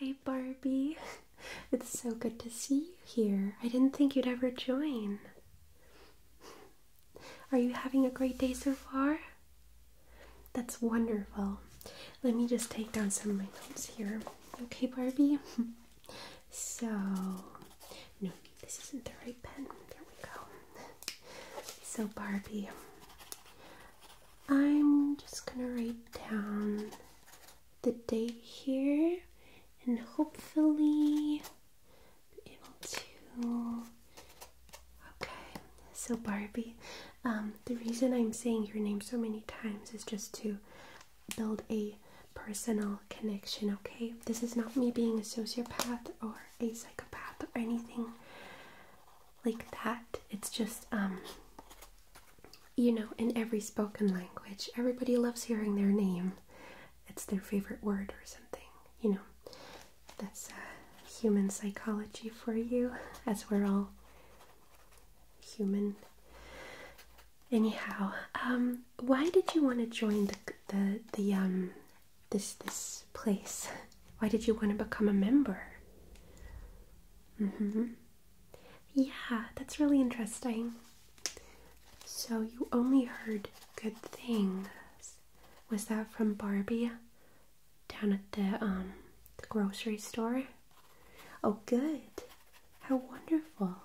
Hi, Barbie. It's so good to see you here. I didn't think you'd ever join. Are you having a great day so far? That's wonderful. Let me just take down some of my notes here. Okay, Barbie? So, this isn't the right pen. There we go. so, Barbie, I'm just gonna write down the date here and hopefully be able to. Okay, so Barbie, um, the reason I'm saying your name so many times is just to build a personal connection, okay? This is not me being a sociopath or a psychopath or anything like that. It's just, um, you know, in every spoken language, everybody loves hearing their name. It's their favorite word or something, you know. That's uh, human psychology for you, as we're all human. Anyhow, um, why did you want to join the the um this this place? Why did you want to become a member? Mm-hmm. Yeah, that's really interesting. So you only heard good things. Was that from Barbie down at the um the grocery store? Oh good. How wonderful.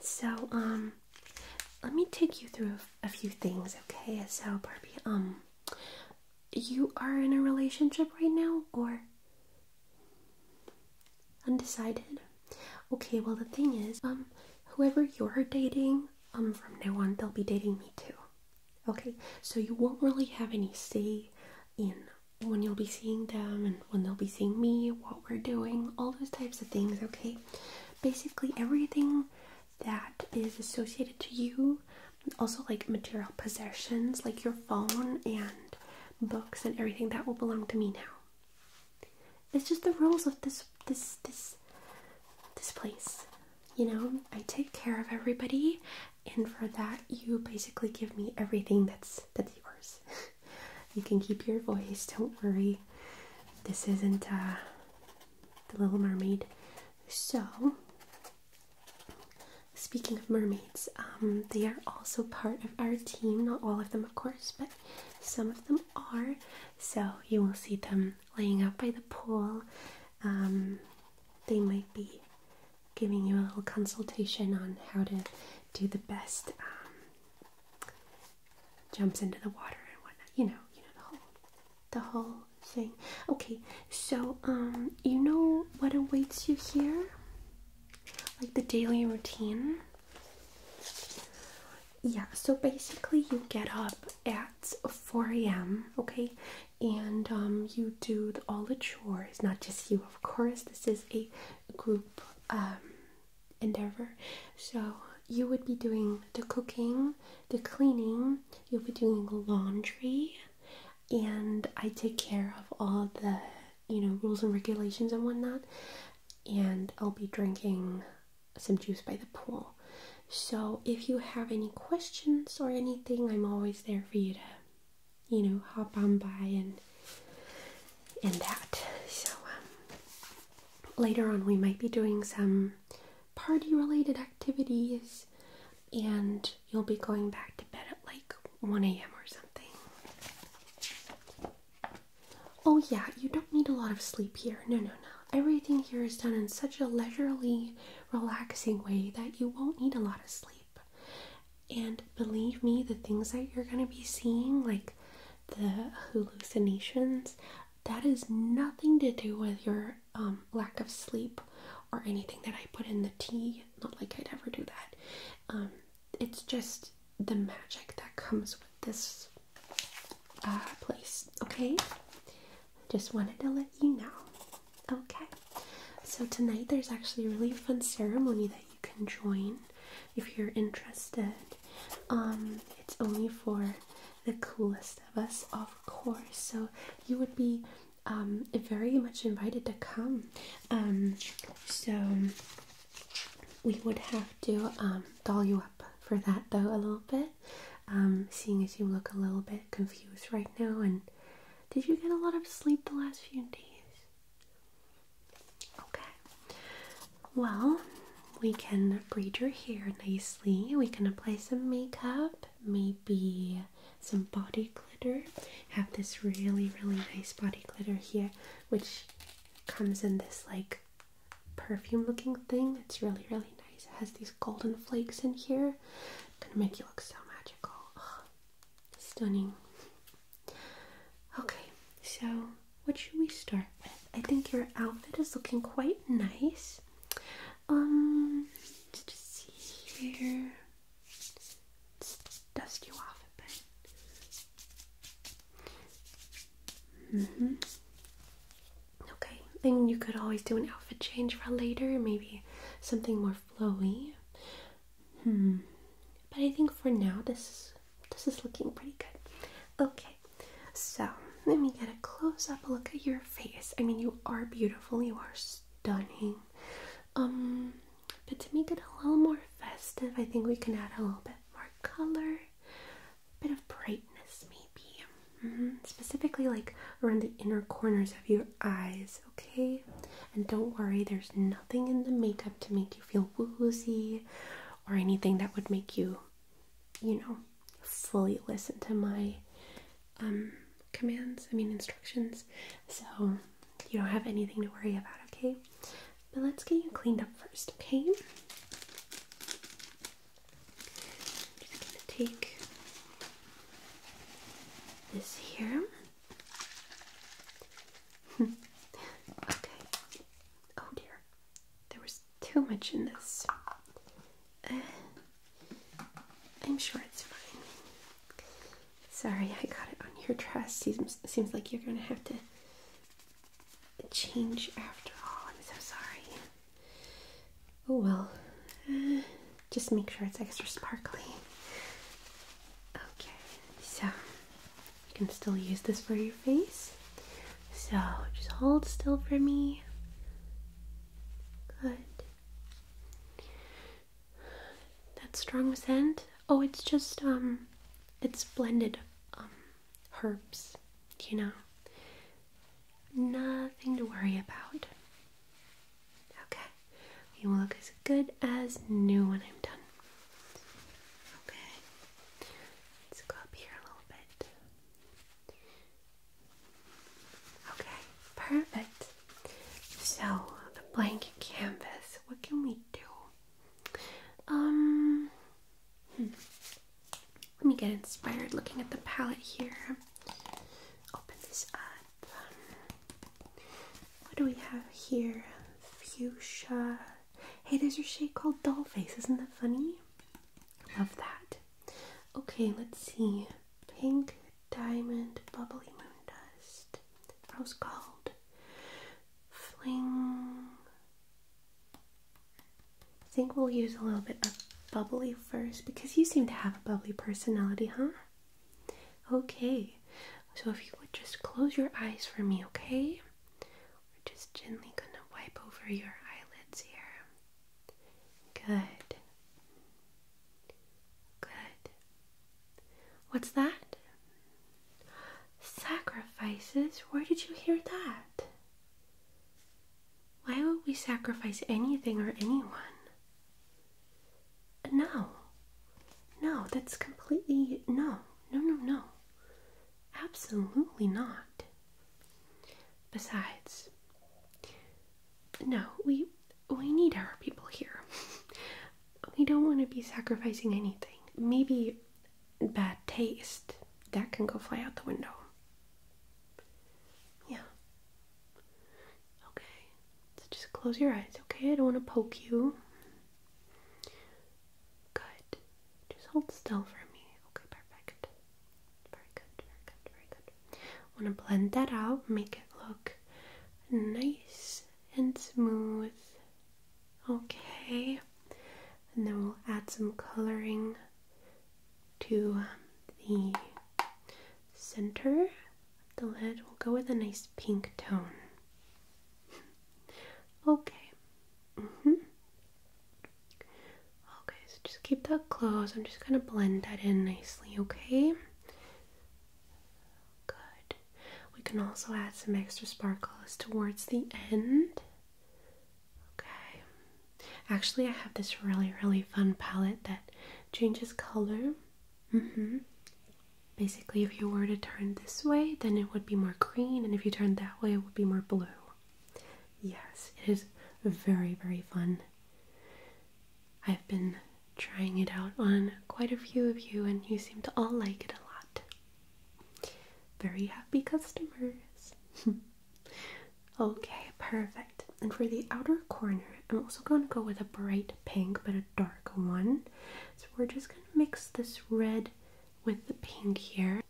So, um, let me take you through a few things, okay? So, Barbie, um, you are in a relationship right now or undecided? Okay, well, the thing is, um, whoever you're dating, um, from now on, they'll be dating me too. Okay, so you won't really have any say in when you'll be seeing them and when they'll be seeing me, what we're doing, all those types of things, okay? basically everything that is associated to you also like material possessions like your phone and books and everything that will belong to me now it's just the rules of this this this this place you know i take care of everybody and for that you basically give me everything that's that's yours you can keep your voice, don't worry. This isn't uh, the Little Mermaid. So, speaking of mermaids, um, they are also part of our team. Not all of them, of course, but some of them are. So, you will see them laying out by the pool. Um, they might be giving you a little consultation on how to do the best um, jumps into the water and whatnot. You know, you know the whole, the whole thing. Okay, so um, you know what awaits you here, like the daily routine. Yeah, so basically you get up at 4 a.m. Okay, and um, you do all the chores. Not just you, of course. This is a group um, endeavor. So you would be doing the cooking, the cleaning, you'll be doing laundry, and I take care of all the you know rules and regulations and whatnot. And I'll be drinking some juice by the pool. So if you have any questions or anything, I'm always there for you to, you know, hop on by and in that. So um, later on, we might be doing some party-related activities, and you'll be going back to bed at like 1 a.m. or something. Oh yeah, you don't need a lot of sleep here. No, no, no. Everything here is done in such a leisurely, relaxing way that you won't need a lot of sleep. And believe me, the things that you're going to be seeing, like the hallucinations, that is nothing to do with your um, lack of sleep or anything that I put in the tea. Not like I'd ever do that. Um, it's just the magic that comes with this uh, place. Okay, just wanted to let you know. Okay, so tonight there's actually a really fun ceremony that can join if you're interested. Um, it's only for the coolest of us, of course. So you would be um, very much invited to come. Um, so we would have to um, doll you up for that though a little bit. Um, seeing as you look a little bit confused right now, and did you get a lot of sleep the last few days? Okay, well, we can braid your hair nicely. We can apply some makeup, maybe some body glitter. Have this really, really nice body glitter here, which comes in this like perfume looking thing. It's really, really nice. It has these golden flakes in here. Gonna make you look so magical. stunning. Okay, so what should we start with? I think your outfit is looking quite nice. Um, let's just see here. dust you off a bit. Mm-hmm. Okay, and you could always do an outfit change for later, maybe something more flowy. Hmm. But I think for now this is this is looking pretty good. Okay. So let me get a close up look at your face. I mean, you are beautiful. You are stunning. Um, but to make it a little more festive, I think we can add a little bit more color, a bit of brightness, maybe. -hmm. Specifically, like around the inner corners of your eyes. Okay. And don't worry, there's nothing in the makeup to make feel woozy or anything that would make you, you know, fully listen to my um, commands, I mean, instructions. So you don't have anything to worry about, okay? But let's get you cleaned up first, okay? just gonna take this here okay. Oh dear. There was too much in this. Uh, I'm sure it's fine. Sorry, I got it on your dress. Seems, seems like you're gonna have to change after all. I'm so sorry. Oh well. Uh, just make sure it's extra sparkly. Okay, so you can still use this for your face. So just hold still for me. Good. That strong scent. Oh, it's just um, it's blended um herbs. You know, nothing to worry about. Okay. You will look as good as new when I'm done. Okay, let's go up here a little bit. Okay, perfect. So, the blank canvas, what can we do? Um, hmm. let me get inspired looking at the palette here. Open this up. What do we have here? Fuchsia. Hey, there's your shade called Dollface. Isn't that funny? Love that. Okay, let's see. Pink diamond bubbly moon dust. Rose called? Fling. I think we'll use a little bit of bubbly first because you seem to have a bubbly personality, huh? Okay, so if you would just close your eyes for me, okay? We're just gently gonna wipe over your eyelids here. Good. Good. What's that? Sacrifices? Where did you hear that? Why would we sacrifice anything or anyone? No, no, that's completely no, no, no, no, absolutely not. Besides, no, we we need our people here. we don't want to be sacrificing anything. Maybe bad taste that can go fly out the window. Yeah. Okay. So just close your eyes, okay? I don't want to poke you. Good. Just hold still for me. Okay, perfect. Very good, very good, very good. I want to blend that out, make it look nice and smooth. Okay. And then we'll add some coloring to the center the lid will go with a nice pink tone. okay. Mm-hmm. Okay, so just keep that close. I'm just gonna blend that in nicely, okay? Good. We can also add some extra sparkles towards the end. Okay. Actually, I have this really, really fun palette that changes color Mm-hmm. Basically, if you were to turn this way, then it would be more green, and if you turn that way, it would be more blue. Yes, it is very, very fun. I've been trying it out on quite a few of you, and you seem to all like it a lot. Very happy customers. okay, perfect. And for the outer corner, I'm also going to go with a bright pink but a dark one. So we're just going to mix this red with the pink here.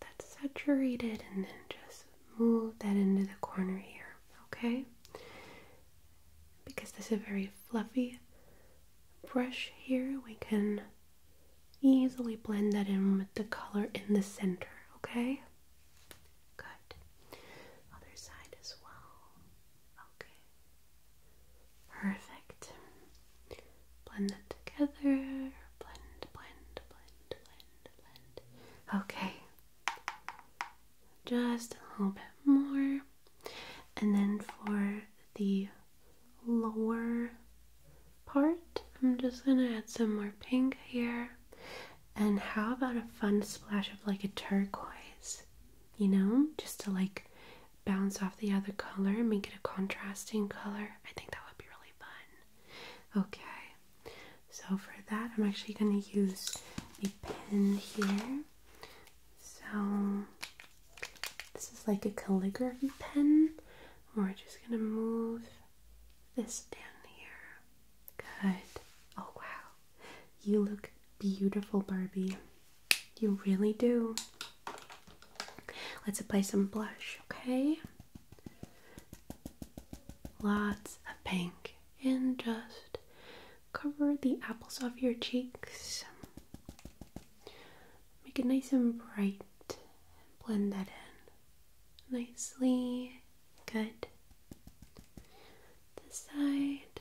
that's saturated and then just move that into the corner here, okay? Because this is a very fluffy brush here, we can easily blend that in with the color in the center, okay? Good. Other side as well. Okay. Perfect. Blend that together. Blend, blend, blend, blend, blend. Okay. Just a little bit more. And then for the lower part, I'm just going to add some more pink here. And how about a fun splash of like a turquoise? you know, just to like bounce off the other color and make it a contrasting color. I think that would be really fun. Okay, so for that, I'm actually going to use a pen here. So, this is like a calligraphy pen. We're just going to move this down here. Good. Oh, wow. You look beautiful, Barbie. You really do. Let's apply some blush, okay? Lots of pink. And just cover the apples off your cheeks. Make it nice and bright. blend that in nicely. Good. The side.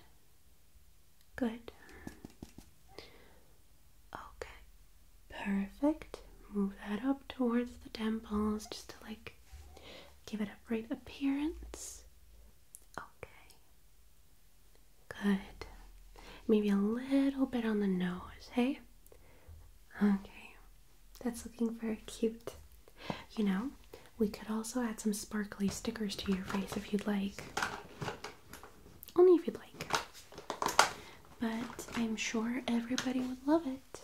Good. Okay. Perfect. Move that up towards the temples just to like give it a bright appearance. Okay. Good. Maybe a little bit on the nose, hey? Okay. That's looking very cute. You know, we could also add some sparkly stickers to your face if you'd like. Only if you'd like. But I'm sure everybody would love it.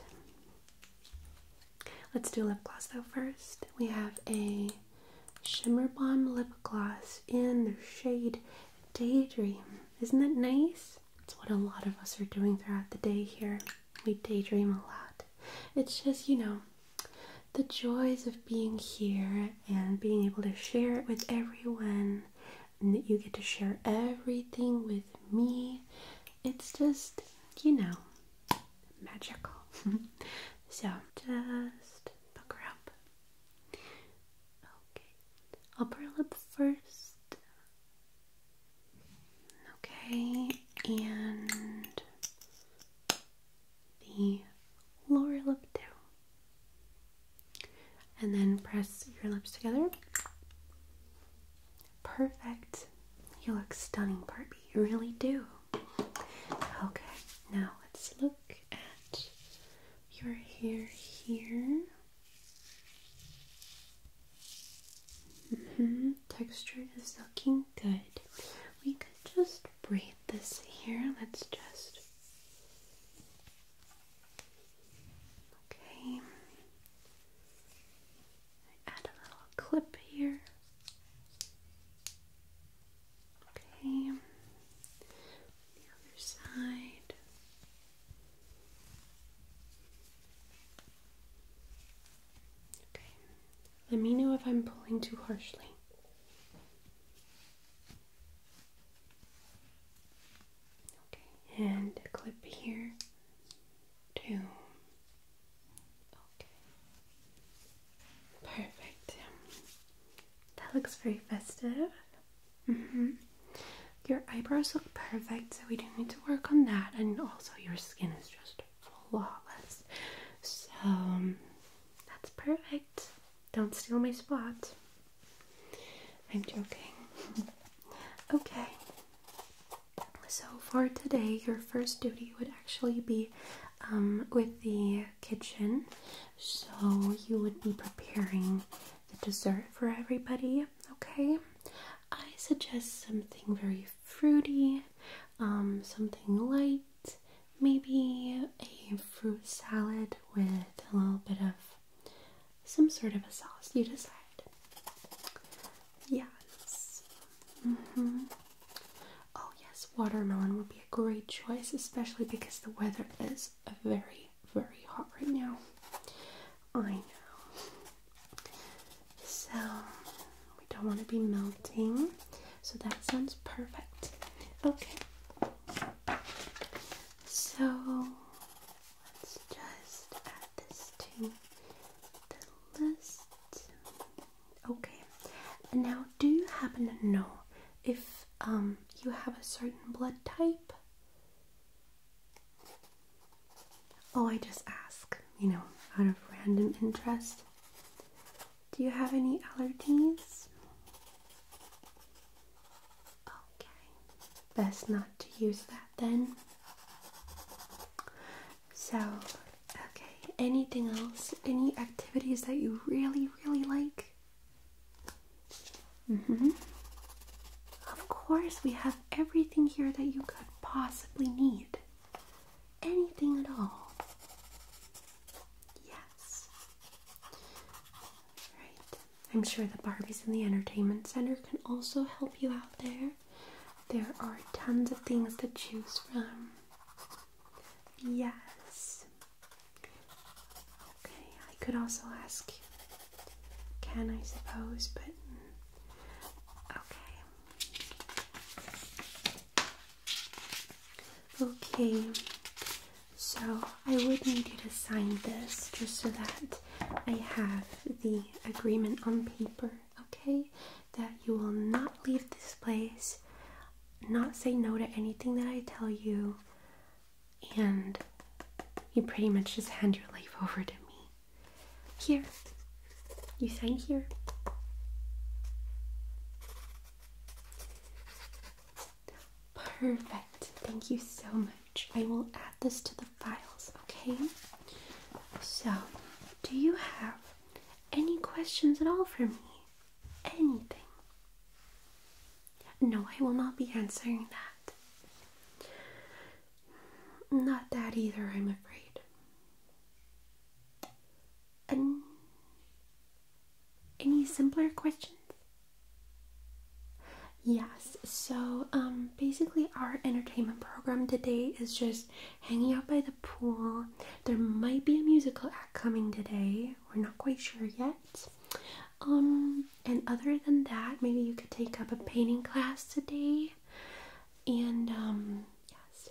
Let's do lip gloss though first. We have a Shimmer Bomb lip gloss in the shade Daydream. Isn't that nice? It's what a lot of us are doing throughout the day here we daydream a lot. It's just, you know, the joys of being here and being able to share it with everyone, and that you get to share everything with me. It's just, you know, magical. so just pucker up. Okay, I'll pearl up first. Okay, and the lower lip down. And then press your lips together. Perfect. You look stunning, Barbie. You really do. Okay, now let's look at your hair here. Mm-hmm. Texture is looking good. We could just braid this here. Let's just. Okay. Add a little clip here. Okay. The other side. Okay. Let me know if I'm pulling too harshly. Okay, and clip here too. Okay. Perfect. That looks very festive. hmm Your eyebrows look perfect, so we do need to work on that, and also your skin is just just So um, that's perfect. Don't steal my spot. I'm joking. okay. So for today, your first duty would actually be um, with the kitchen. So you would be preparing the dessert for everybody. Okay. I suggest something very fruity, um, something light, maybe a fruit salad with a little bit of some sort of a sauce. You decide. Yes. Mm-hmm. Oh yes, watermelon would be a great choice, especially because the weather is very, very hot right now. I know. So we don't want to be melting. So that sounds perfect. Okay. So let's just add this to the list. Okay. now do you happen to know if um you have a certain blood type? Oh, I just ask, you know, out of random interest. Do you have any allergies? Okay, best not to use that then. So, okay, anything else? Any activities that you really, really like? Mm hmm. Of course, we have everything here that you could possibly need anything at all. Yes. Right. I'm sure the Barbies in the entertainment center can also help you out there. There are tons of things to choose from. Yes. Okay, I could also ask, can I suppose, but mm, okay, Okay, so I would need you to sign this just so that I have the agreement on paper, okay? That you will not leave this place, not say no to anything that I tell you, and you pretty much just hand your life over to me. Here, you sign here. Perfect. Thank you so much. I will add this to the files, okay? So, do you have any questions at all for me? Anything? No, I will not be answering that. Not that either, I'm afraid. any simpler questions? Yes, so um, basically, our entertainment program today is just hanging out by the pool. There might be a musical act coming today, we're not quite sure yet. Um, and other than that, maybe you could take up a painting class today and um, yes,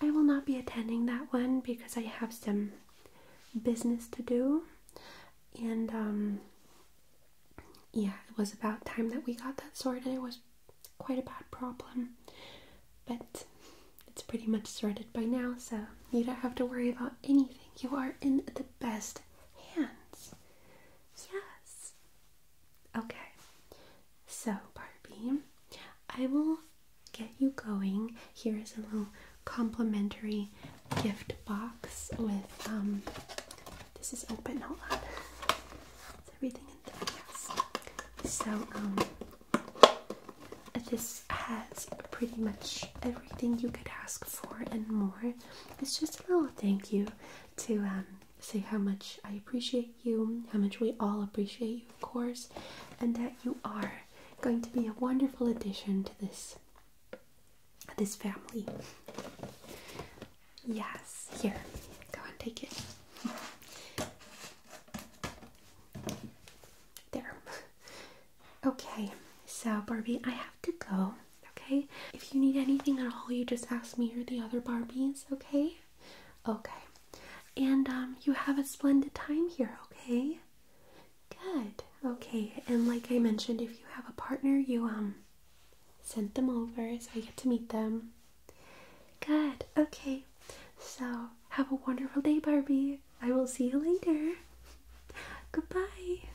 I will not be attending that one because I have some business to do, and um, yeah, it was about time that we got that sorted. It was quite a bad problem, but it's pretty much sorted by now, so you don't have to worry about anything. You are in the best hands. Yes. Okay, so Barbie, I will get you going. Here is a little complimentary gift box with um this is open, hold on. Is everything in there? Yes. So um this has pretty much everything you could ask for and more. It's just a little thank you to um say how much I appreciate you, how much we all appreciate you, of course, and that you are going to be a wonderful addition to this this family. Yes, here, go and take it. There. Okay, so Barbie, I have to go okay? If you need anything at all, you just ask me or the other Barbies, okay? Okay. And um, you have a splendid time here, okay? Good. Okay. And like I mentioned, if you have a partner, you um sent them over, so I get to meet them. Good. Okay. So have a wonderful day, Barbie. I will see you later. Goodbye.